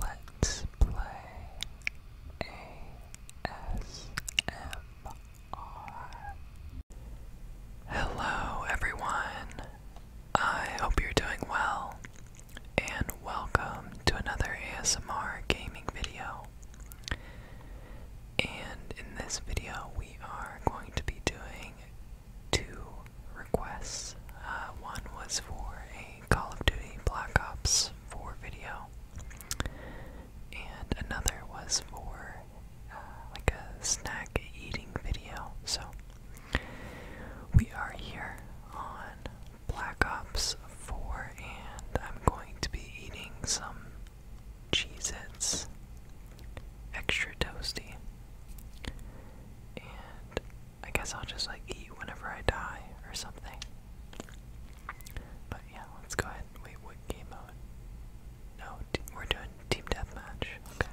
Let's play ASMR. Hello, everyone. I hope you're doing well, and welcome to another ASMR gaming video. And in this video, we are going to be doing two requests. Uh, one was for a Call of Duty Black Ops 4 video, and another was for uh, like a snack eating video. So we are here on Black Ops 4, and I'm going to be eating some Cheez Its extra toasty. And I guess I'll just like eat whenever I die or something. But yeah, let's go ahead wait. What game mode? No, we're doing team deathmatch. Okay.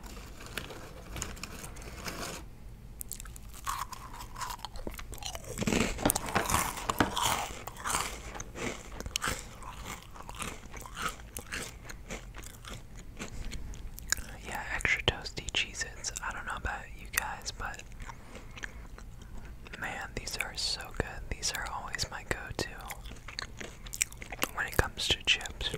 Yeah, extra toasty Cheez Its. I don't know about you guys, but man, these are so good. These are always my go to when it comes to chips.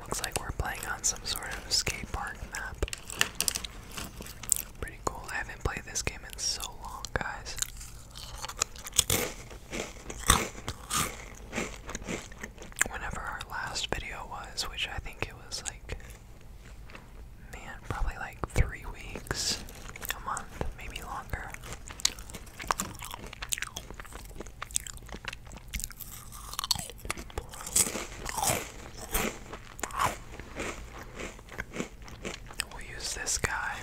Looks like we're playing on some sort of skate park map. Pretty cool. I haven't played this game in so long, guys. Whenever our last video was, which I think it was like, man, probably like three weeks a month, maybe longer. We'll use this guy.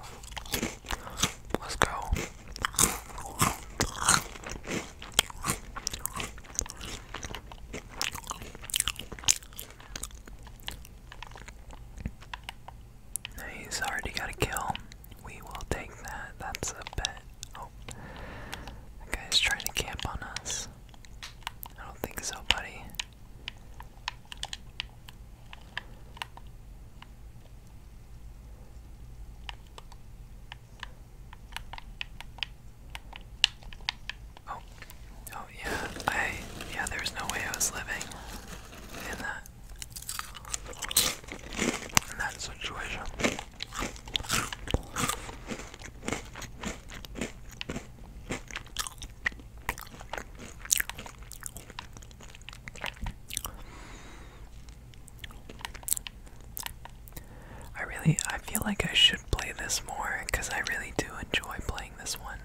Oh. Let's go. He's already got a kill. We will take that. That's a bet. Oh. That guy's trying to camp on us. I don't think so, buddy. Oh, oh yeah, I, yeah, there's no way I was living in that, in that situation. I really I feel like I should play this more because I really do enjoy playing this one.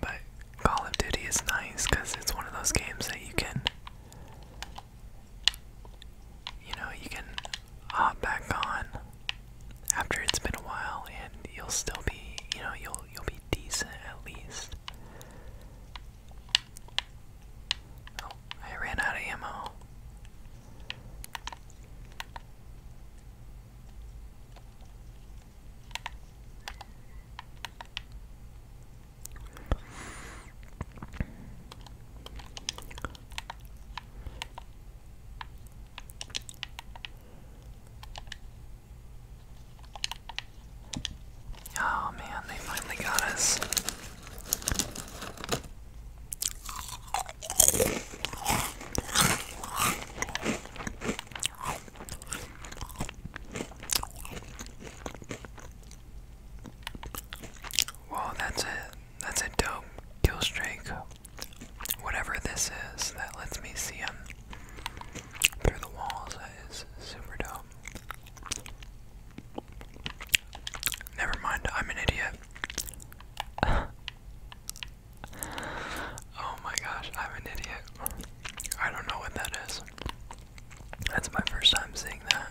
But Call of Duty is nice because it's one of those games that you can you know, you can hop back on after it's been a while and you'll still be, you know, you'll you'll be decent at least. Oh, I ran out of ammo. Oh man, they finally got us. Well, that's it. That's a dope kill streak. Whatever this is that lets me see him through the walls is super dope. Never mind, I'm an idiot. oh my gosh, I'm an idiot. I don't know what that is. That's my first time seeing that.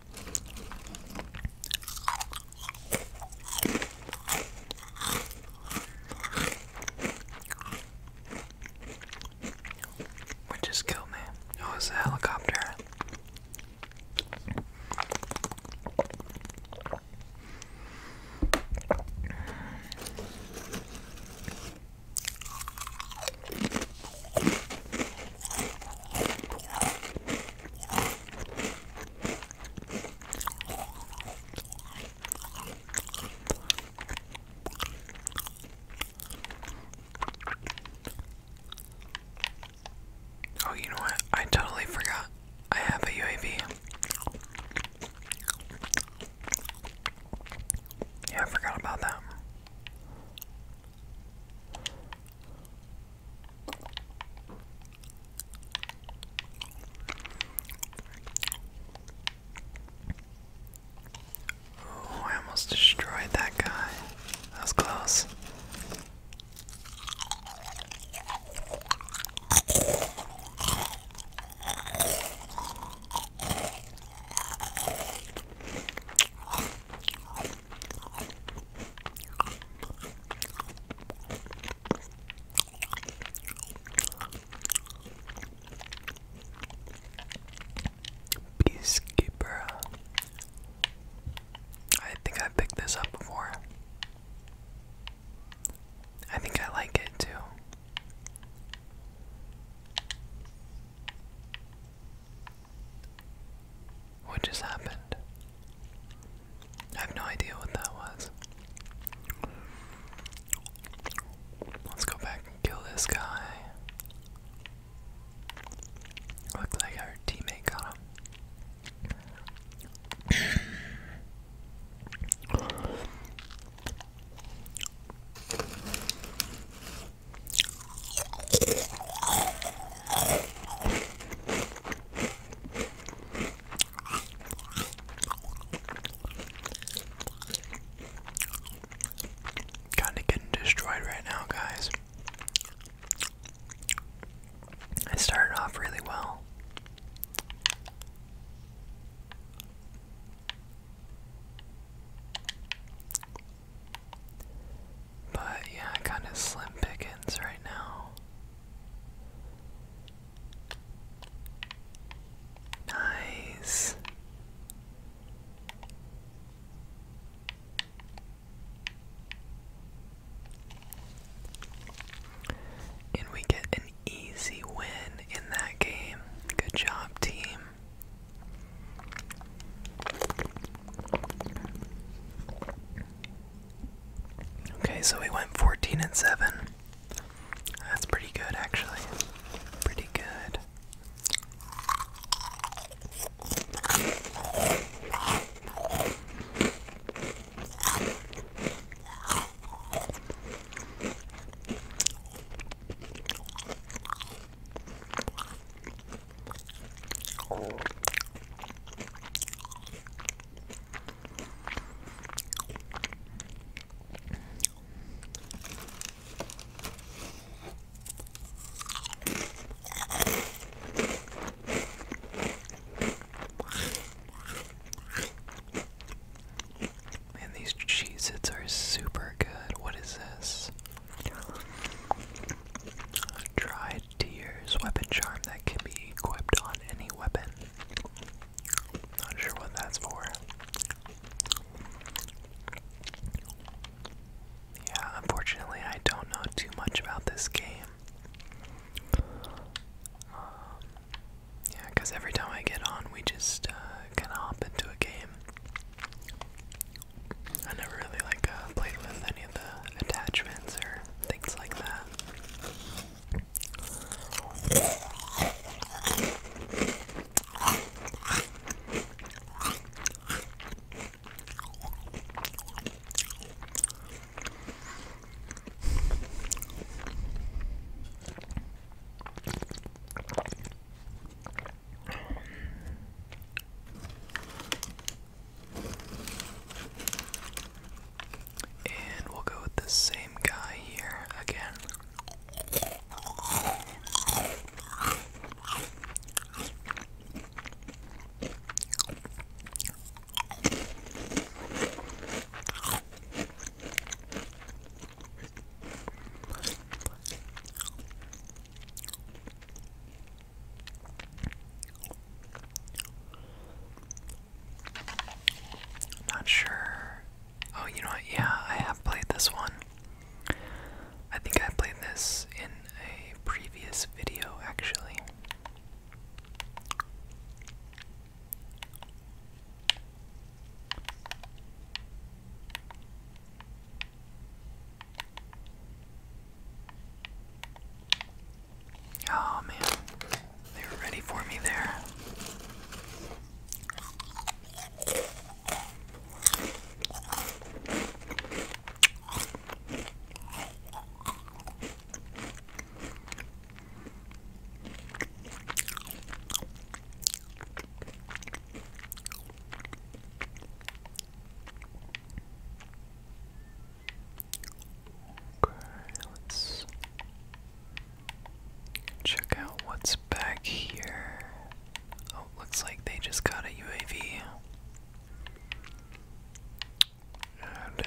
What just killed me? Oh, it's a helicopter. Oh, you know what? I totally forgot. I have a UAV. Yeah, forgot about that. I almost destroyed that guy. That was close. Peacekeeper. I think I picked this up before. I think I like it too. What just happened? I have no idea what that was. Let's go back and kill this guy. Looks like our teammate got him. Kinda getting destroyed right now, guys. I started off really well. But yeah, kind of slim pickings right now. Nice. And we get an easy win in that game. Good job, team. Okay, so we went 14 and 7. That's pretty good, actually. Pretty good. Man, these cheese its are super good. What is this? Dried Tears weapon charm that can be equipped on any weapon. Not sure what that's for. Yeah, unfortunately, I don't know too much about this game. Um, yeah, because every time I get on, we just uh, kind of hop into a game. I never really like uh, played with any of the attachments or things like that. And we'll go with the same guy here again. Not sure. Oh, you know what? Yeah, I have played this one. I think I played this in a previous video, actually. Oh man, they were ready for me there. Okay, let's check out what's back here. Oh, looks like they just got a UAV.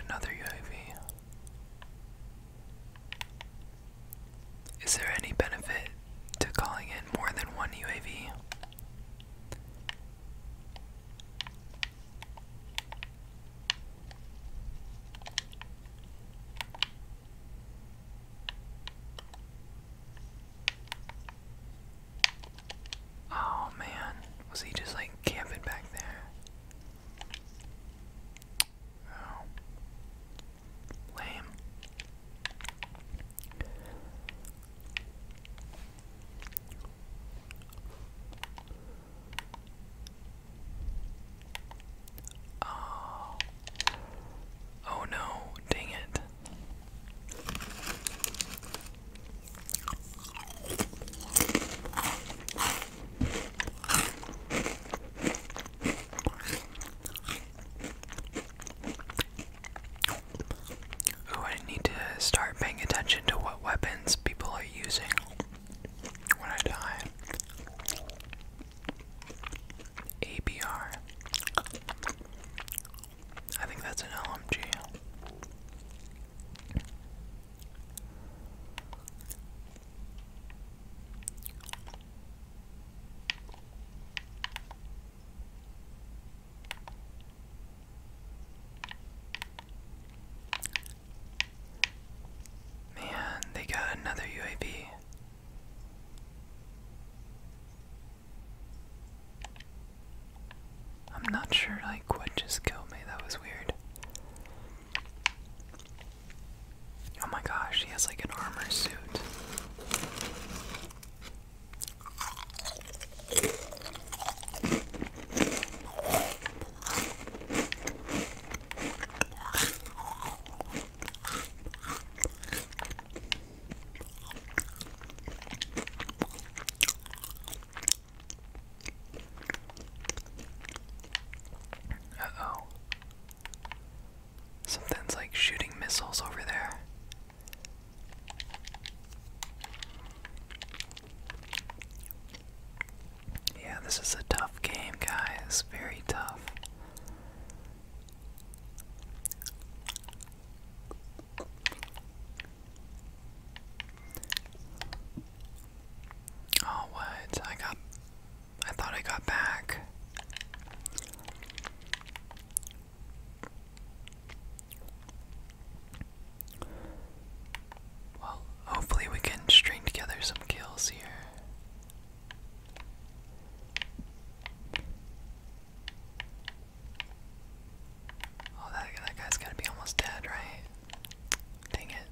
another UAV. Is there any benefit to calling in more than one UAV? Oh man, was he just like camping back there? Oh. Lame. Oh, oh. no, dang it. Ooh, I need to start paying attention to what weapons people are using when I die. ABR. I think that's an LMG. Man, they got another UAV. I'm not sure like what just killed me, that was weird. Oh my gosh, he has like an armor suit. Uh oh. Something's like shooting missiles over there. Yeah, this is a tough game, guys. Very tough. Oh, what? I got. I thought I got back. Well, hopefully, we can string together some kills here. Oh, that, that guy's gotta be almost dead, right? Dang it.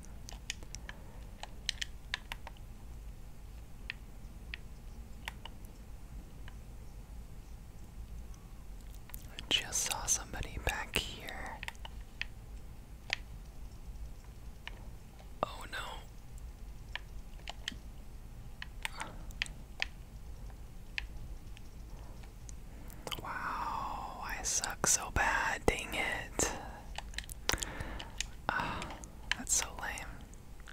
I just saw somebody back here. Oh no. Wow, I suck so bad. Dang it. Ah, that's so lame.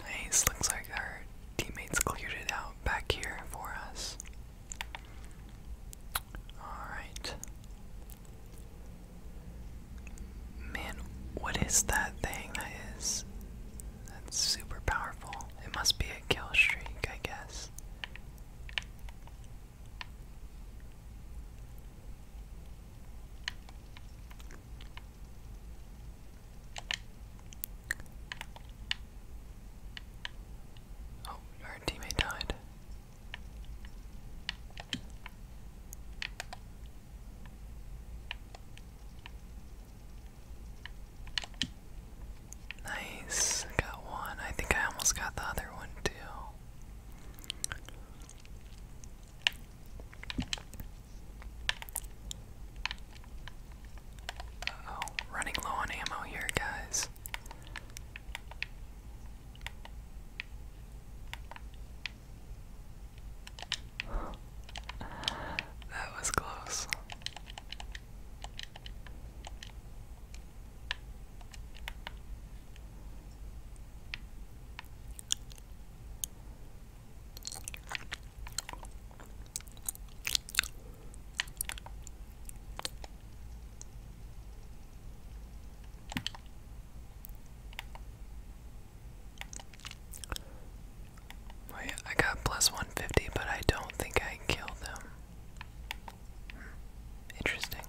Nice, looks like our teammates cleared it out back here for us. Alright. Man, what is that thing that is. That's super powerful. It must be a kill streak, I guess. Oh, our teammate died. Nice, I got one. I think I almost got the other one too oh, running low on ammo here, guys. that was close. Wait, I got plus 150, but I don't think I killed them. Hmm. Interesting.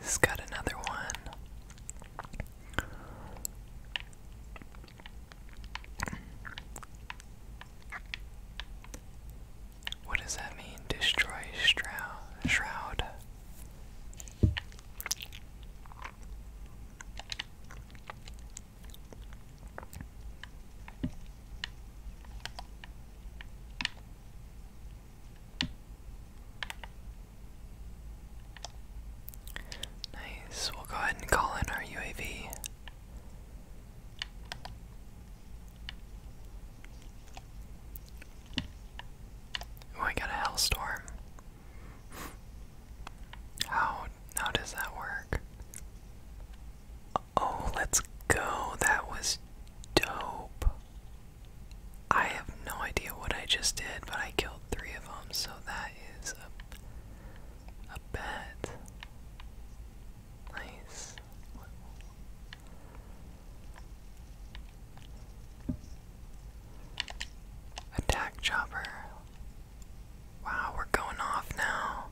He's got another one. What does that mean? Destroy shroud. Shroud. Nice, we'll go ahead and call in our UAV. Oh, I got a hellstorm. How how does that work? Oh, let's go. That was dope. I have no idea what I just did, but I killed three of them, so that is a, a bet. Nice. Attack chopper. Wow, we're going off now.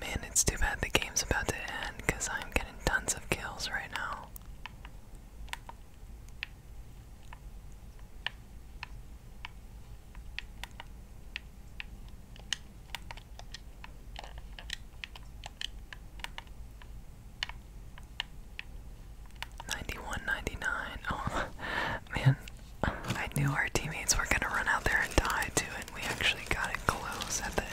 Man, it's too bad the game's about to end because I'm getting tons of kills right now. Ninety-one, ninety-nine. Oh man, I knew our teammates were gonna run out there and die too, and we actually got it close at the end.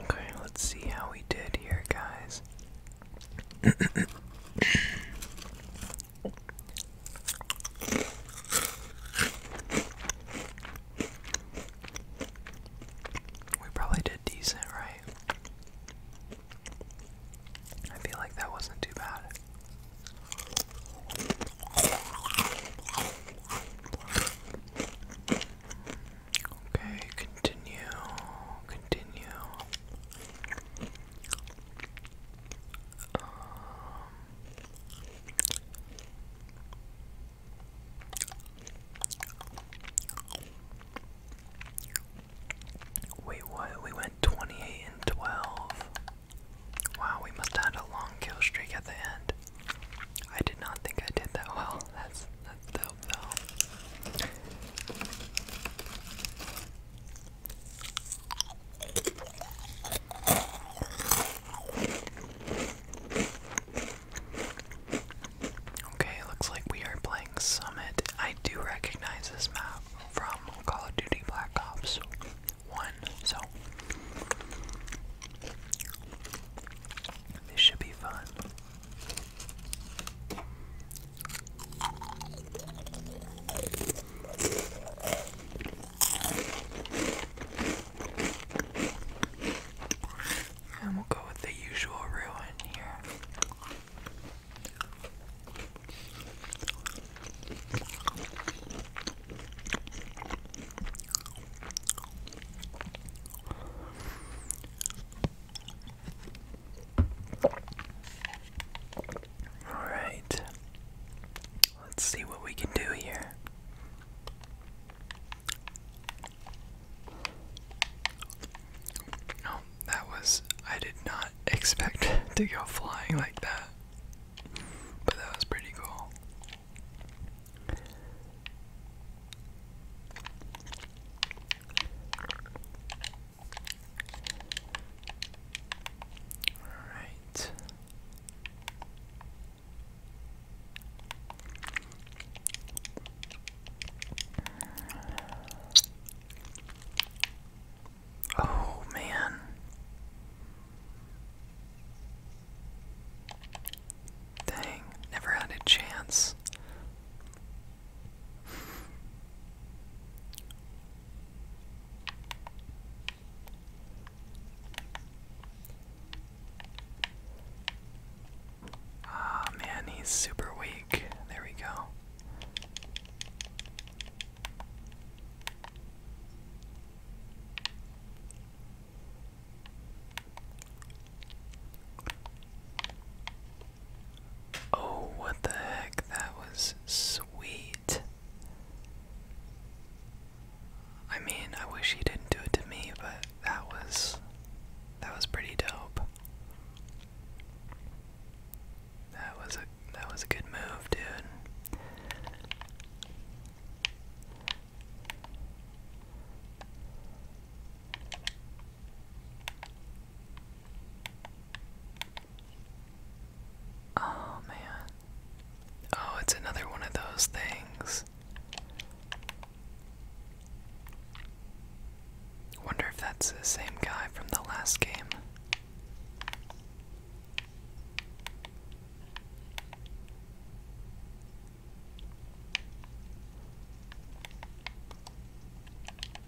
Okay, let's see how we did here, guys. We probably did decent, right? I feel like that wasn't too bad. Okay, continue, continue. Um, Wait, what? We went 28 and 12. Wow, we must have a long kill streak at the end. I did not think I did that well. That's that's dope though. Okay, looks like we are playing Summit. I do recognize this map from Call of Duty Black Ops 1, so this should be fun. And we'll go with the usual ruin here. All right. Let's see what we can do here. No, that was. I did not expect to go flying like that. But that was pretty cool. Alright. Oh, man. Dang, never had a chance. Ah, man, he's super weak. There we go. Oh, what the heck? That was sweet. I mean, I wish he didn't do it to me, but that was that was pretty dope. That was a that was a good move, dude. Oh man. Oh, it's another one of those things. Wonder if that's the same guy from the last game.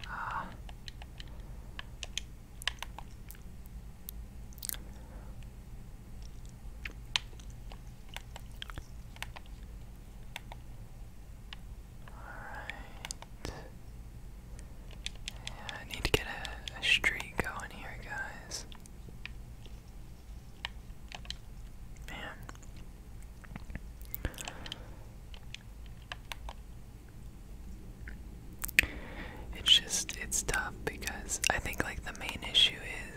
Ah. Alright. I need to get a, streak going here, guys. Man. It's just, it's tough because I think like the main issue is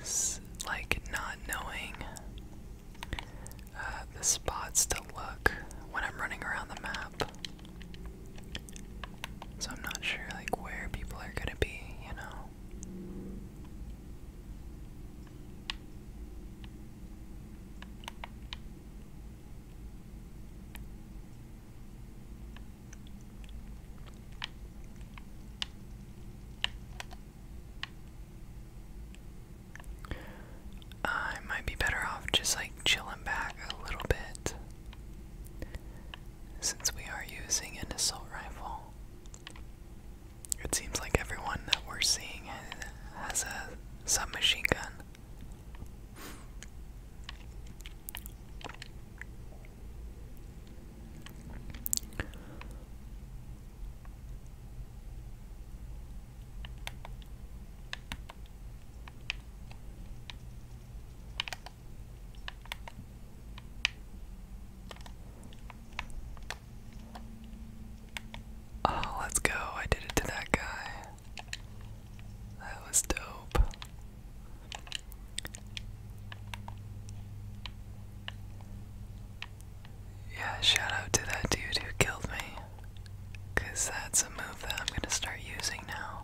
like not knowing uh, the spots to look when I'm running around the map. So I'm not sure like where people are gonna be, you know. I might be better off just like chilling back a little bit since we are using an assault rifle. It seems like everyone that we're seeing has a submachine gun. Oh, let's go. I did it to that guy. That was dope. Yeah, shout out to that dude who killed me. Because that's a move that I'm going to start using now.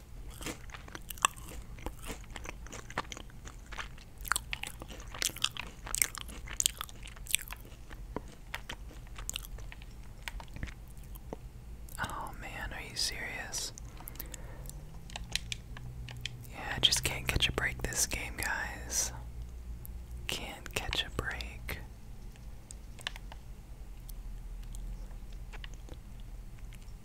Oh man, are you serious? Yeah, I just can't catch a break this game, guys. Can't catch a break.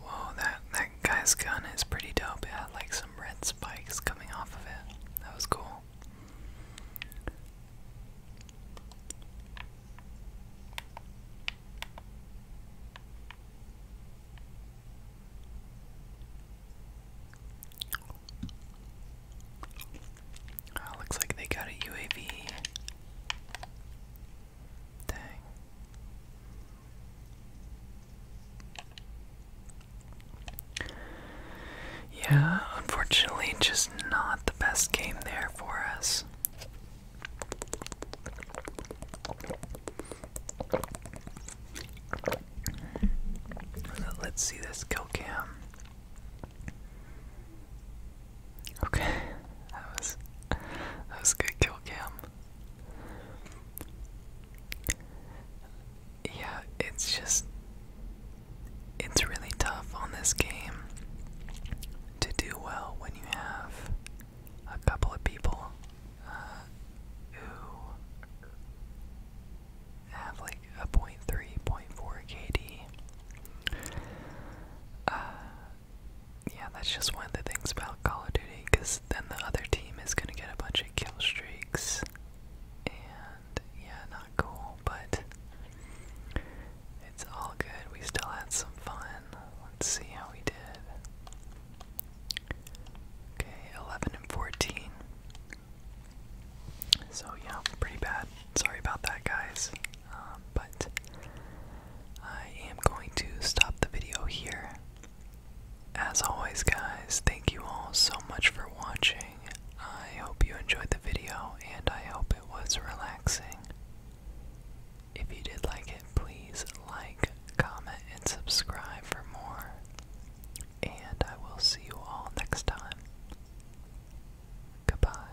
Whoa, that that guy's gun is pretty dope. It had like some red spikes coming off of it. That was cool. Oh, looks like they got a UAV. Dang. Yeah, unfortunately, just not the best game there for us. Let's see this kill cam. Okay, that was that was good kill cam. Yeah, it's just. It's really tough on this game to do well when you have a couple of people uh, who have like a 0.3, KD. Uh, yeah, that's just one of the things about Call of Duty, because then the other team is gonna get a bunch of kill streaks, and yeah, not cool, but it's all good. We still had some fun. Let's see how we did. Okay, 11 and 14. So, yeah, pretty bad. Sorry about that, guys. Um, but I am going to stop the video here. As always, guys, thank you all so much for watching. I hope you enjoyed the video and I hope it was relaxing. If you did like it, please like, comment, and subscribe for more. And I will see you all next time. Goodbye.